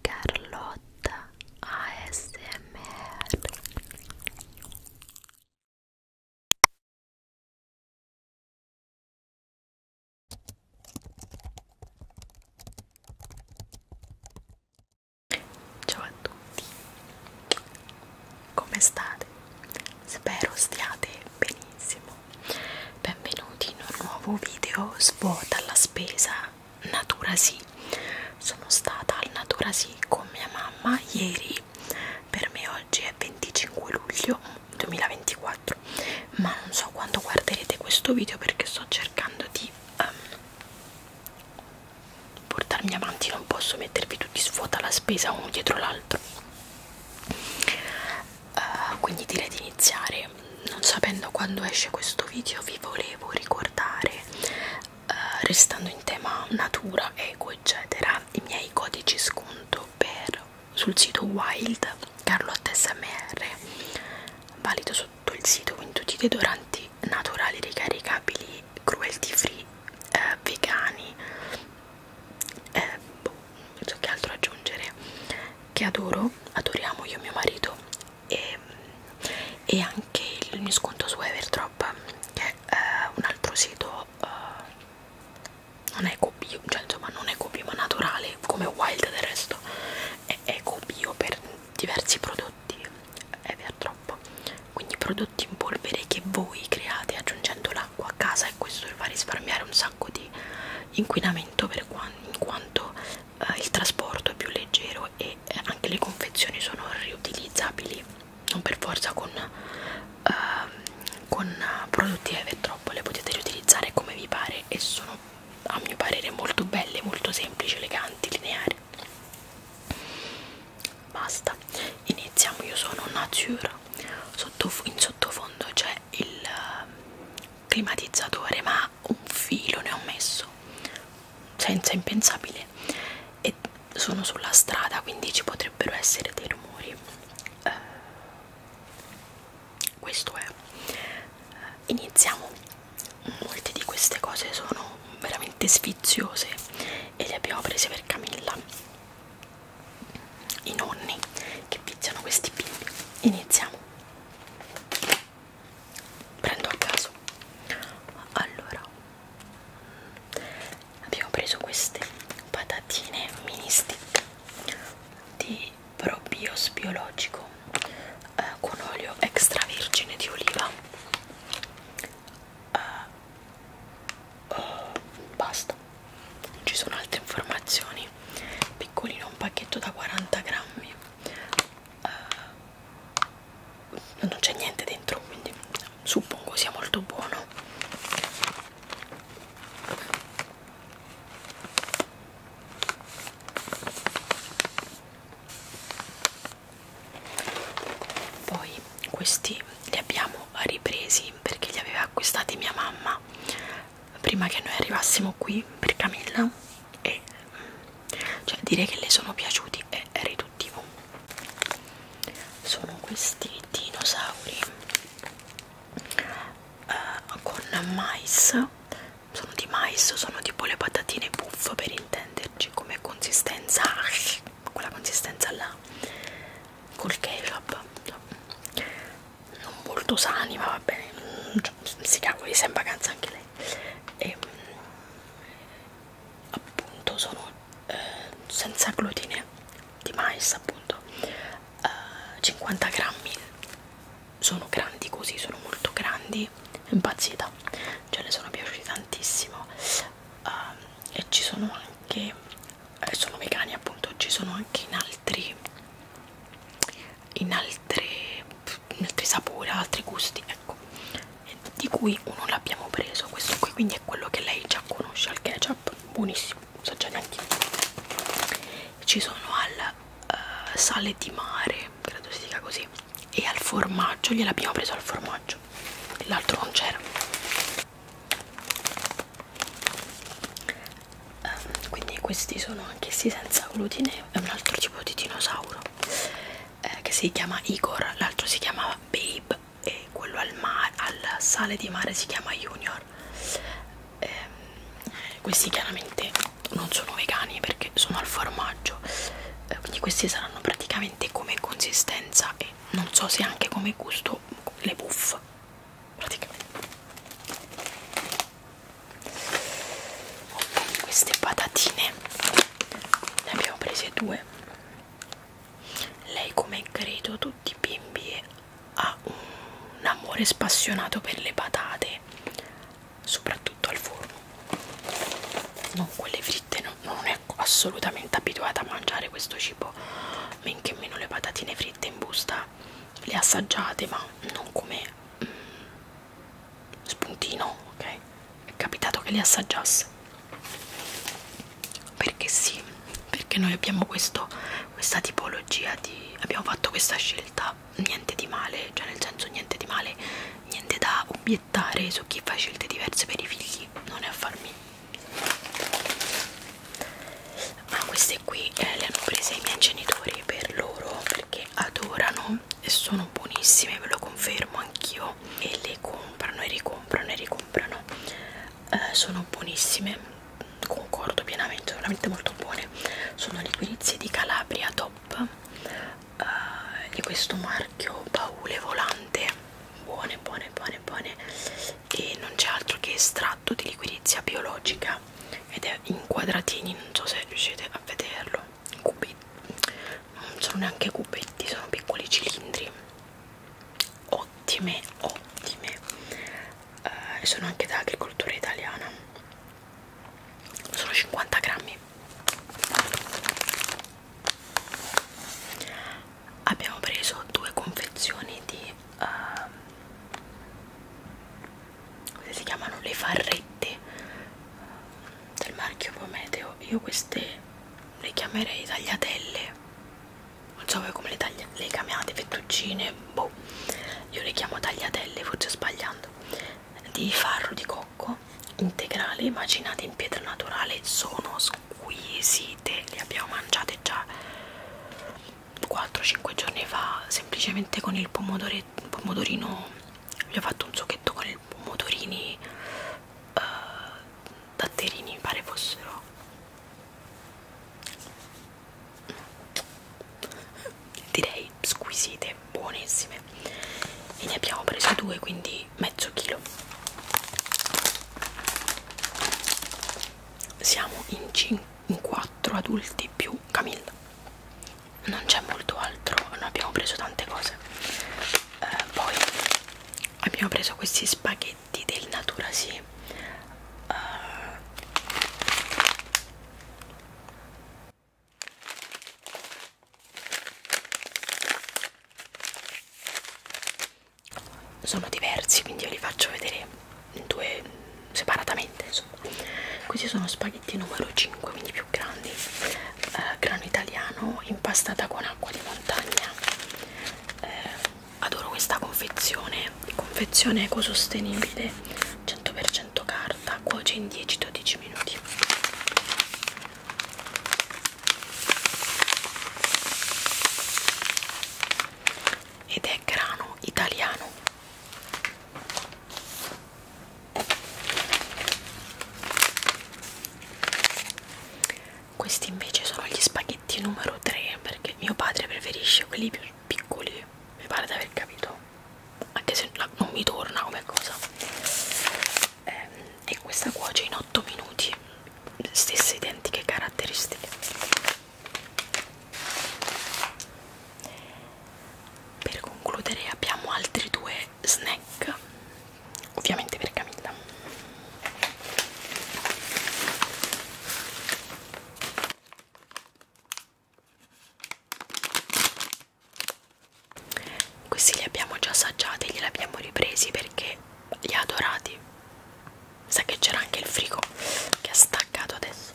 Carlotta ASMR Ciao a tutti, come state? Spero stiate benissimo benvenuti in un nuovo video svuota la spesa Natura Sì sono stata al Natura Sì con mia mamma ieri per me oggi è 25 luglio 2024 ma non so quando guarderete questo video perché sto cercando di um, portarmi avanti non posso mettervi tutti svuota la spesa uno dietro l'altro uh, quindi direi di iniziare non sapendo quando esce questo video vi volevo ricordare uh, restando in tema natura eco eccetera i miei codici sconto per sul sito wild carlotta smr valido sotto il sito quindi tutti i deodoranti naturali ricaricabili cruelty free eh, vegani eh, boh, non so che altro aggiungere che adoro, adoriamo io e mio marito e, e anche il mio sconto su Everdrop che è eh, un altro sito eh, non è bio, cioè insomma non è bio ma naturale come Wild del resto è eco-bio per diversi prodotti Everdrop quindi prodotti in polvere che voi create aggiungendo l'acqua a casa e questo vi fa risparmiare un sacco di inquinamento per qua, in quanto eh, il trasporto è più leggero e eh, anche le confezioni sono riutilizzabili non per forza con, eh, con prodotti Evertroppo le potete riutilizzare come vi pare e sono a mio parere molto belle molto semplici eleganti lineari basta iniziamo io sono Nature Sottof in sottofondo c'è il eh, climatizzatore ma ma un filo ne ho messo senza impensabile e sono sulla strada quindi ci potrebbero essere dei rumori eh, questo è eh, iniziamo molte di queste cose sono veramente sfiziose e le abbiamo prese per Camilla i nonni che viziano questi bimbi iniziamo prendo a caso allora abbiamo preso queste patatine mini stick di probios biologico eh, con olio extravergine di oliva eh, eh, basta non ci sono altre informazioni piccolino un pacchetto da 40 grammi uh, non c'è niente dentro quindi suppongo sia molto buono poi questi li abbiamo ripresi perché li aveva acquistati mia mamma prima che noi arrivassimo qui per Camilla e cioè dire che le sono piaciuti è riduttivo sono questi dinosauri uh, con mais sono di mais sono tipo le patatine puff per intenderci come consistenza quella consistenza là col ketchup non molto sani ma va bene mm, cioè, si cavoli sei in vacanza anche lei e, ehm, appunto sono eh, senza glutine di mais appunto eh, 50 grammi sono grandi così sono molto grandi impazzita cioè le sono piaciuti tantissimo eh, e ci sono anche eh, sono vegani appunto ci sono anche in altri in altre in altri sapori, altri gusti, ecco, di cui uno l'abbiamo preso, questo qui quindi è quello che lei già conosce al ketchup, buonissimo, so già neanche ci sono al uh, sale di mare, credo si dica così, e al formaggio, gliel'abbiamo preso al formaggio, l'altro non c'era um, quindi questi sono anch'essi senza glutine è un altro tipo di dinosauro eh, che si chiama Igor l'altro si chiamava Babe e quello al, mare, al sale di mare si chiama Junior eh, questi chiaramente non sono vegani perché sono al formaggio eh, quindi questi saranno praticamente come consistenza e non so se anche come gusto le puff praticamente ok queste patatine ne abbiamo prese due lei come credo tutti i bimbi ha un amore spassionato per le patate soprattutto al forno non quelle fritte no, non è assolutamente abituata a mangiare questo cibo men che meno le patatine fritte in busta le assaggiate ma non come mm, spuntino ok è capitato che le assaggiasse perché sì perché noi abbiamo questo, questa tipologia di abbiamo fatto questa scelta niente di male cioè nel senso niente di male niente da obiettare su chi fa scelte diverse per i figli non è a farmi ma queste qui eh, le hanno prese i miei genitori per loro perché adorano e sono buonissime ve lo confermo anch'io e le comprano e ricomprano e ricomprano eh, sono buonissime concordo pienamente veramente molto buone sono liquidizie di Calabria Top eh, di questo marchio baule volante buone buone buone buone e non c'è altro che stra estratto di liquirizia biologica ed è in quadratini, non so se riuscite a vederlo, cubetti, non sono neanche cubetti, sono piccoli cilindri, ottime, ottime, eh, sono anche da agricoltura italiana, sono 50 grammi. Abbiamo preso due confezioni di um, ehm, queste si chiamano le farrette del marchio Prometeo io queste le chiamerei tagliatelle non so voi come le, taglia le chiamate fettuccine boh io le chiamo tagliatelle forse sbagliando di farro di cocco integrale macinate in pietra naturale sono squisite le abbiamo mangiate già 4-5 giorni fa semplicemente con il pomodorino vi ho fatto un zucchetto con i pomodorini uh, datterini mi pare fossero direi squisite buonissime e ne abbiamo preso due quindi mezzo chilo siamo in 5 in quattro adulti più Camilla non c'è molto altro non abbiamo preso tante cose eh, poi abbiamo preso questi spaghetti del natura sì uh, sono diversi quindi io li faccio vedere due separatamente insomma questi sono spaghetti numero 5 quindi più grandi eh, grano italiano impastata con acqua di montagna eh, adoro questa confezione confezione ecosostenibile 100% carta cuoce in 10-12 minuti ed è grano italiano questi invece sono gli spaghetti numero 3 perché mio padre preferisce quelli più piccoli mi pare di aver capito anche se non mi torna come cosa ehm, e questa cuoce in 8 minuti stesse identiche caratteristiche per concludere abbiamo altri due snack, ovviamente per Camilla. Questi li abbiamo già assaggiati, li abbiamo ripresi perché li ha adorati sa che c'era anche il frigo che ha staccato adesso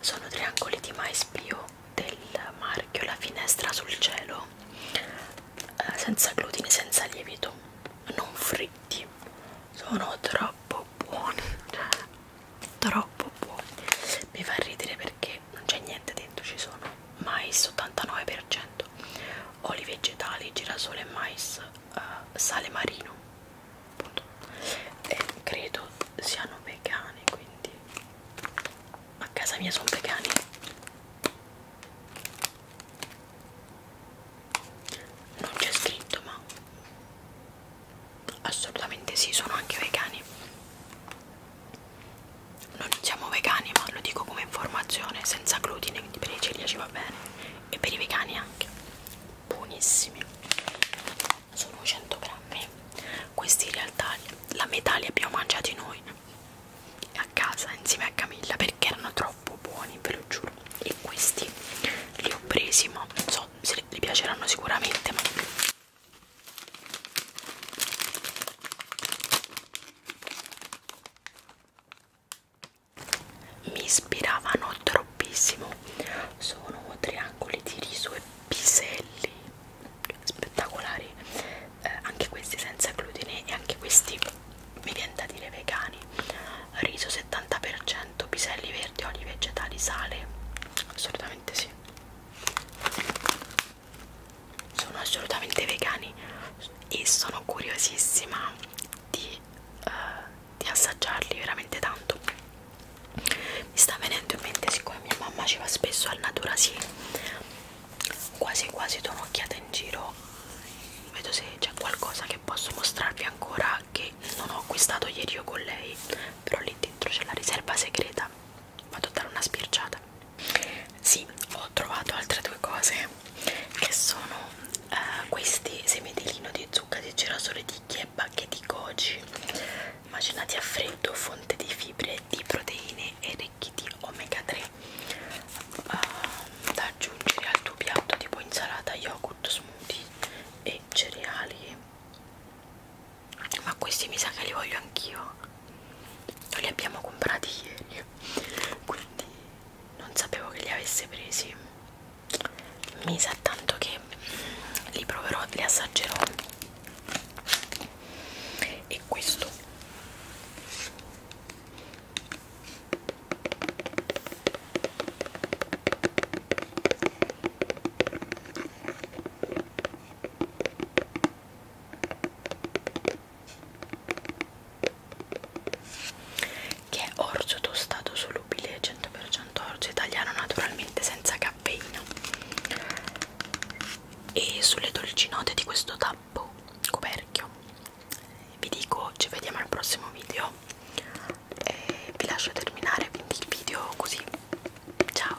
sono triangoli di mais bio del marchio la finestra sul cielo eh, senza glutine senza lievito non fritti sono troppo buoni troppo buoni mi fa ridere perché non c'è niente dentro ci sono mais 89% oli vegetali girasole e mais eh, sale marino appunto, e credo siano vegane quindi a casa mia sono vegani non c'è scritto ma assolutamente sì sono anche vegani non siamo vegani ma lo dico come informazione senza glutine quindi per i celiaci va bene e per i vegani anche buonissimi sono 100 grammi questi in realtà la metà li abbiamo mangiati noi a casa insieme a Camilla perché erano troppo buoni ve lo giuro e questi li ho presi ma non so se li piaceranno sicuramente ma mi ispiravano troppissimo sono triangoli di riso e piselli spettacolari eh, anche questi senza glutine e anche questi mi viene da dire vegani riso 70% piselli verdi oli vegetali sale assolutamente sì sono assolutamente vegani e sono curiosissima di uh, di assaggiarli veramente tanto mi sta venendo in mente siccome mia mamma ci va spesso al natura sì quasi quasi do un'occhiata in giro vedo se c'è qualcosa che posso mostrarvi ancora che non ho acquistato ieri io con lei però lì dentro c'è la riserva segreta vado a dare una spirciata sì ho trovato altre due cose che sono uh, questi semi di lino di zucca di girasole di chiebba che di goji immaginati a freddo fonte di fibre di proteine e ricchi di omega 3 uh, ehm, da aggiungere al tuo piatto tipo insalata yogurt smoothie e cereali ma questi mi sa che li voglio anch'io noi li abbiamo comprati ieri quindi non sapevo che li avesse presi mi sa tanto che li proverò li assaggerò e questo che è orzo tostato solubile 100% orzo italiano naturalmente senza caffeina e sulle dolci note di questo tappo coperchio vi dico ci vediamo al prossimo video e vi lascio terminare quindi il video così ciao